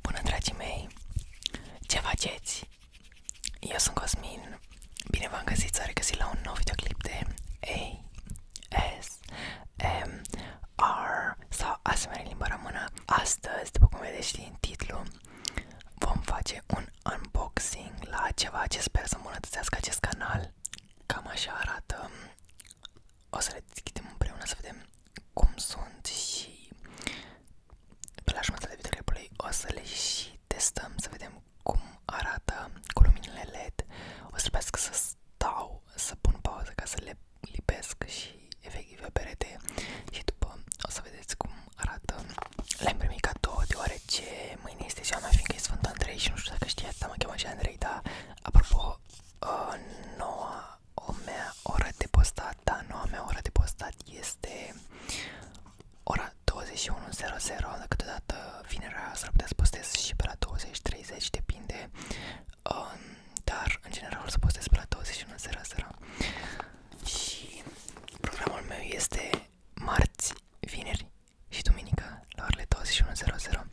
Bună, dragii mei! Ce faceți? Eu sunt Cosmin. Bine v-am găsit, s-a regăsit la un nou videoclip de A, S, M, R sau asemenea limba română. Astăzi, după cum vedeți din titlu, vom face un unboxing la ceva ce sper să îmbunătățească acest canal. Cam așa arată o să le deschidem împreună să vedem cum sunt și pe la jumătatea videoclipului o să le și testăm să vedem cum arată cu luminile LED. O să trebuiască să stau, să pun pauză ca să le lipesc și efectiv pe perete și după o să vedeți cum arată. Le-am primit cadou deoarece mâine este ziua mea fiindcă e Sfântul Andrei și nu știu dacă știați, dar mă cheamă și Andrei, dar apropo, uh, noua o mea oră de postat, da, noua mea oră de postat este ora 21.00, dar câteodată vinerea s-ar putea să postez și pe la 20.30, depinde, um, dar în general să postez pe la 21.00 și programul meu este marți, vineri și duminică la orele 21.00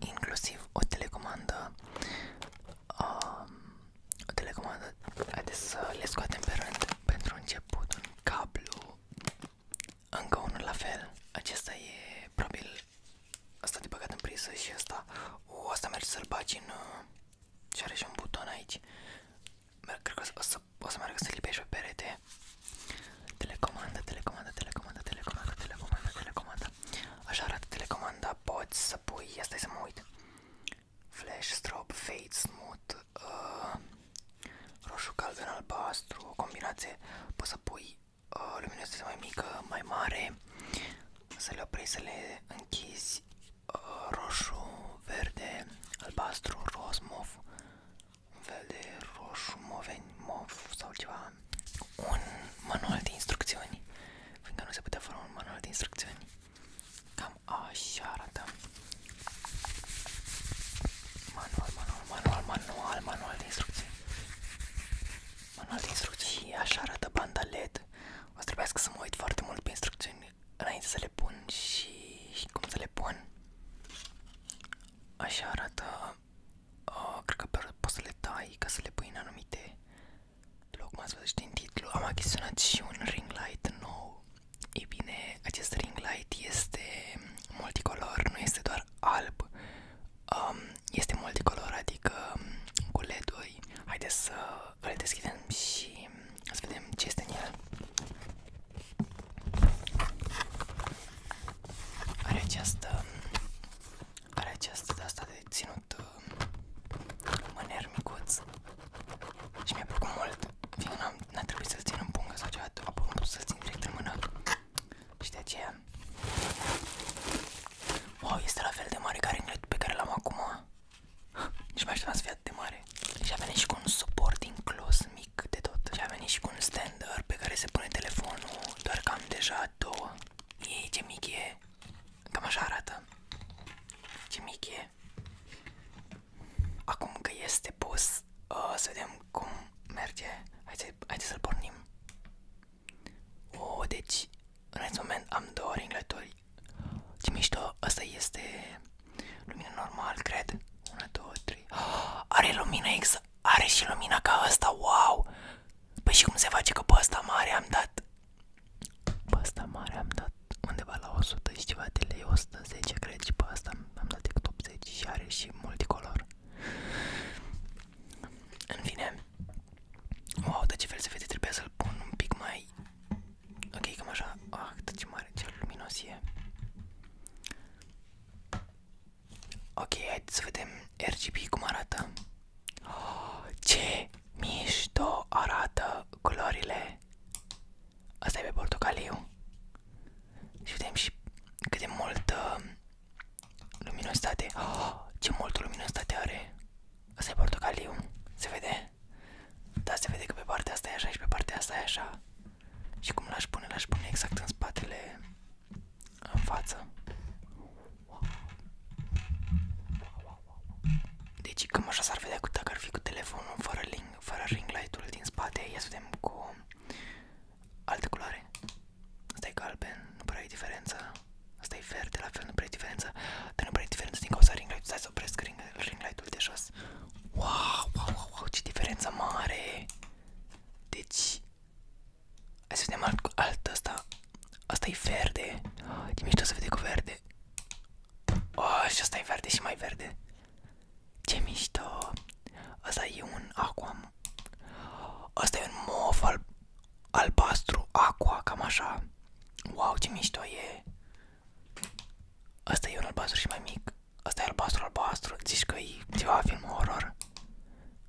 inclusiv o telecomandă uh, o telecomandă haideți să le scoatem pe rând pentru început un cablu încă unul la fel acesta e probabil asta de băgat în priză și asta o, asta merge să-l bagi în uh, și are și un buton aici Cred că o să, o să meargă să lipești pe perete Telecomanda, telecomanda, telecomanda, telecomanda, telecomanda, telecomanda. Așa arată telecomanda, poți să pui, asta să mă uit. Flash, strobe, fade, smooth, uh, roșu, galben, albastru, o combinație. Poți să pui uh, luminositatea mai mică, mai mare, să le oprești, să le închizi, uh, roșu, verde, albastru, roz, mov, un fel de roșu, moveni, mov sau ceva, un manual de instrucțiuni, fiindcă nu se putea fără un manual de instrucțiuni. Cam așa arată. Manual, manual, manual, manual, manual de instrucții. Manual de instrucții, așa arată banda LED. O să trebuiască să mă uit foarte mult pe instrucțiuni înainte să le pun și, și cum să le pun. Așa arată uh, cred că poți să le dai ca să le pui în anumite loc, cum ați văzut din titlu, am achiziționat și un ring light nou. Ei bine, acest ring light este multicolor, nu este doar alb, um, este multicolor, adică um, cu LED-uri. Haideți să îl deschidem și să vedem ce este în el. Are această Are această de asta de ținut uh, mâner micuț și mi-a mult fiindcă n-a, să-l țin în pungă sau ceva, apoi am să-l țin direct în mână și de aceea Wow, este la fel de mare ca ringlet pe care l-am acum Nici mai așteptam să fie de mare Și a și cu un suport inclus mic de tot Și a venit și cu un stander pe care se pune telefonul Doar că am deja două Ei ce mic e Cam așa arată Ce mic e Acum că este pus uh, Să vedem cum merge Haideți haide să-l pornim Oh, deci în acest moment am două ringlături Ce mișto, asta este lumina normal, cred. 1, 2, 3. Are lumina exact. Are și lumina ca asta, wow! Păi și cum se face că pe asta mare am dat? Pe asta mare am dat undeva la 100 și ceva de lei, 110 cred și pe asta am dat decât 80 și are și multicolor. În fine, wow, de ce fel se vede, trebuie să-l pun un pic mai Ok, cam așa. Ah, ce mare, ce luminos Ok, haideți să vedem RGB cum arată. Oh, ce mișto arată culorile. Asta e pe portocaliu. Și vedem și cât de multă luminositate. Oh, ce multă luminositate are. Asta e portocaliu. Se vede? da se vede că pe partea asta e așa și pe partea asta e așa. Și cum l-aș pune? L-aș pune exact în spatele, în față. Deci cam așa s-ar vedea dacă ar fi cu telefonul fără, ring fără ring light-ul din spate. Ia să vedem cu alte culoare. Asta e galben, nu prea e diferența. Asta e verde, la fel nu prea e diferența. Dar nu prea e diferența din cauza ring light-ului. Stai să opresc ring ring, ring light-ul de jos. Wow, wow, wow, wow, ce diferență mare! Deci... Hai să vedem alt, alt asta. Asta e verde. Ce mișto se vede cu verde. Oh, și asta e verde și mai verde. Ce mișto. Asta e un aquam. Asta e un mov al, albastru aqua, cam așa. Wow, ce mișto e. Asta e un albastru și mai mic. Asta e albastru albastru. Zici că e ceva film horror.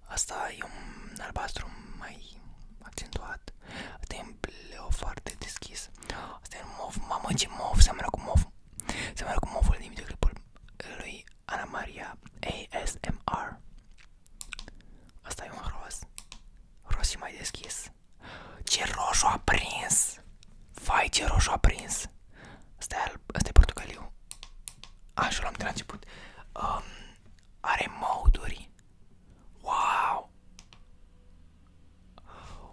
Asta e un albastru mai accentuat. Asta e un bleu foarte deschis. Asta e un mov. Mamă ce mov, seamănă cu mov. Seamănă cu movul din videoclipul lui Ana Maria ASMR. Asta e un ros. Ros și mai deschis. Ce roșu a prins! Vai, ce roșu a prins! Asta e, asta e portocaliu. Așa l-am de la început. Um, are moduri. Wow!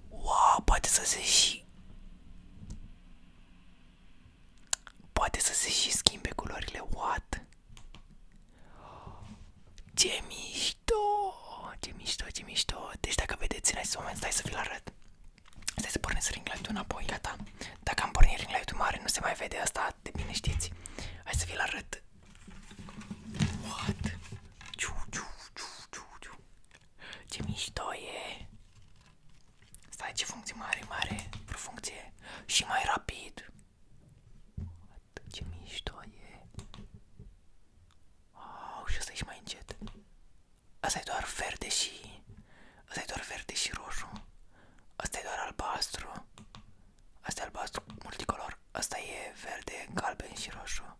Wow, poate să se și... Poate să se și schimbe culorile, what? Ce mișto! Ce mișto, ce mișto! Deci dacă vedeți în acest moment, stai să vi-l arăt. Stai să pornesc ring light-ul înapoi, gata. Dacă am pornit ring light-ul mare, nu se mai vede asta, de bine știți. Hai să vi-l arăt. What? Ciu, ciu, ciu, ciu, ciu. Ce mișto e! Stai, ce funcție mare, mare, o funcție și mai rapid. Cât ce mișto e. Oh, și ăsta ești mai încet. Asta e doar verde și... Asta e doar verde și roșu. Asta e doar albastru. Asta e albastru multicolor. Asta e verde, galben și roșu.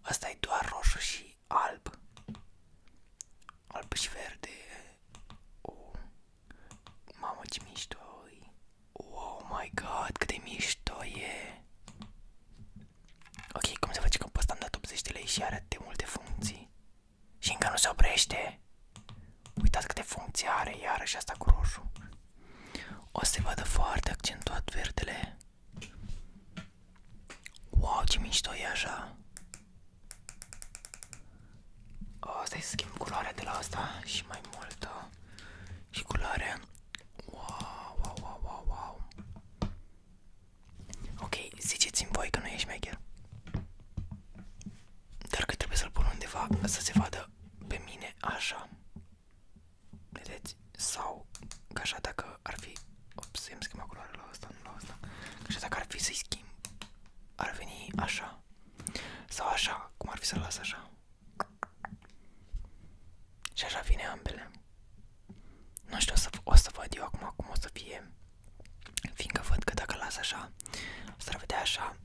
Asta e doar roșu și alb. Alb și verde. Oh. Mamă ce mișto e. Oh my god, cât de mișto e. Ok, cum se face că pe ăsta am dat 80 de lei și are de multe funcții. Și încă nu se oprește. Uitați câte funcții are iarăși asta cu roșu. O să se vadă foarte accentuat verdele. Wow, ce mișto e așa. O, stai să schimb culoarea de la asta și mai multă și culoare. Wow, wow, wow, wow, wow. Ok, ziceți-mi voi că nu ești maker. Dar că trebuie să-l pun undeva să se vadă pe mine așa. Vedeți? Sau că dacă ar fi... Ops, să-mi schimb culoarea la asta, nu la asta. Că dacă ar fi să-i schimb, ar veni așa. Sau așa, cum ar fi să-l las așa. Și așa vine ambele. Nu știu, o să, o să văd eu acum cum o să fie. Fiindcă văd că dacă las așa, o să vedea așa.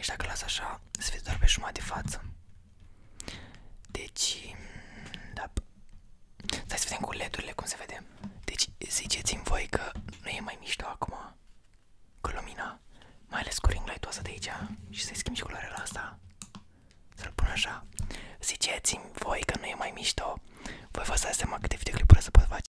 Și dacă las așa, se vede doar pe jumătate de față. Deci, da. Stai să vedem cu led cum se vede. Deci, ziceți-mi voi că nu e mai mișto acum cu lumina, mai ales cu ring light asta de aici și să-i schimb și culoarea la asta, să-l pun așa. Ziceți-mi voi că nu e mai mișto, voi vă dați seama câte videoclipuri să pot face.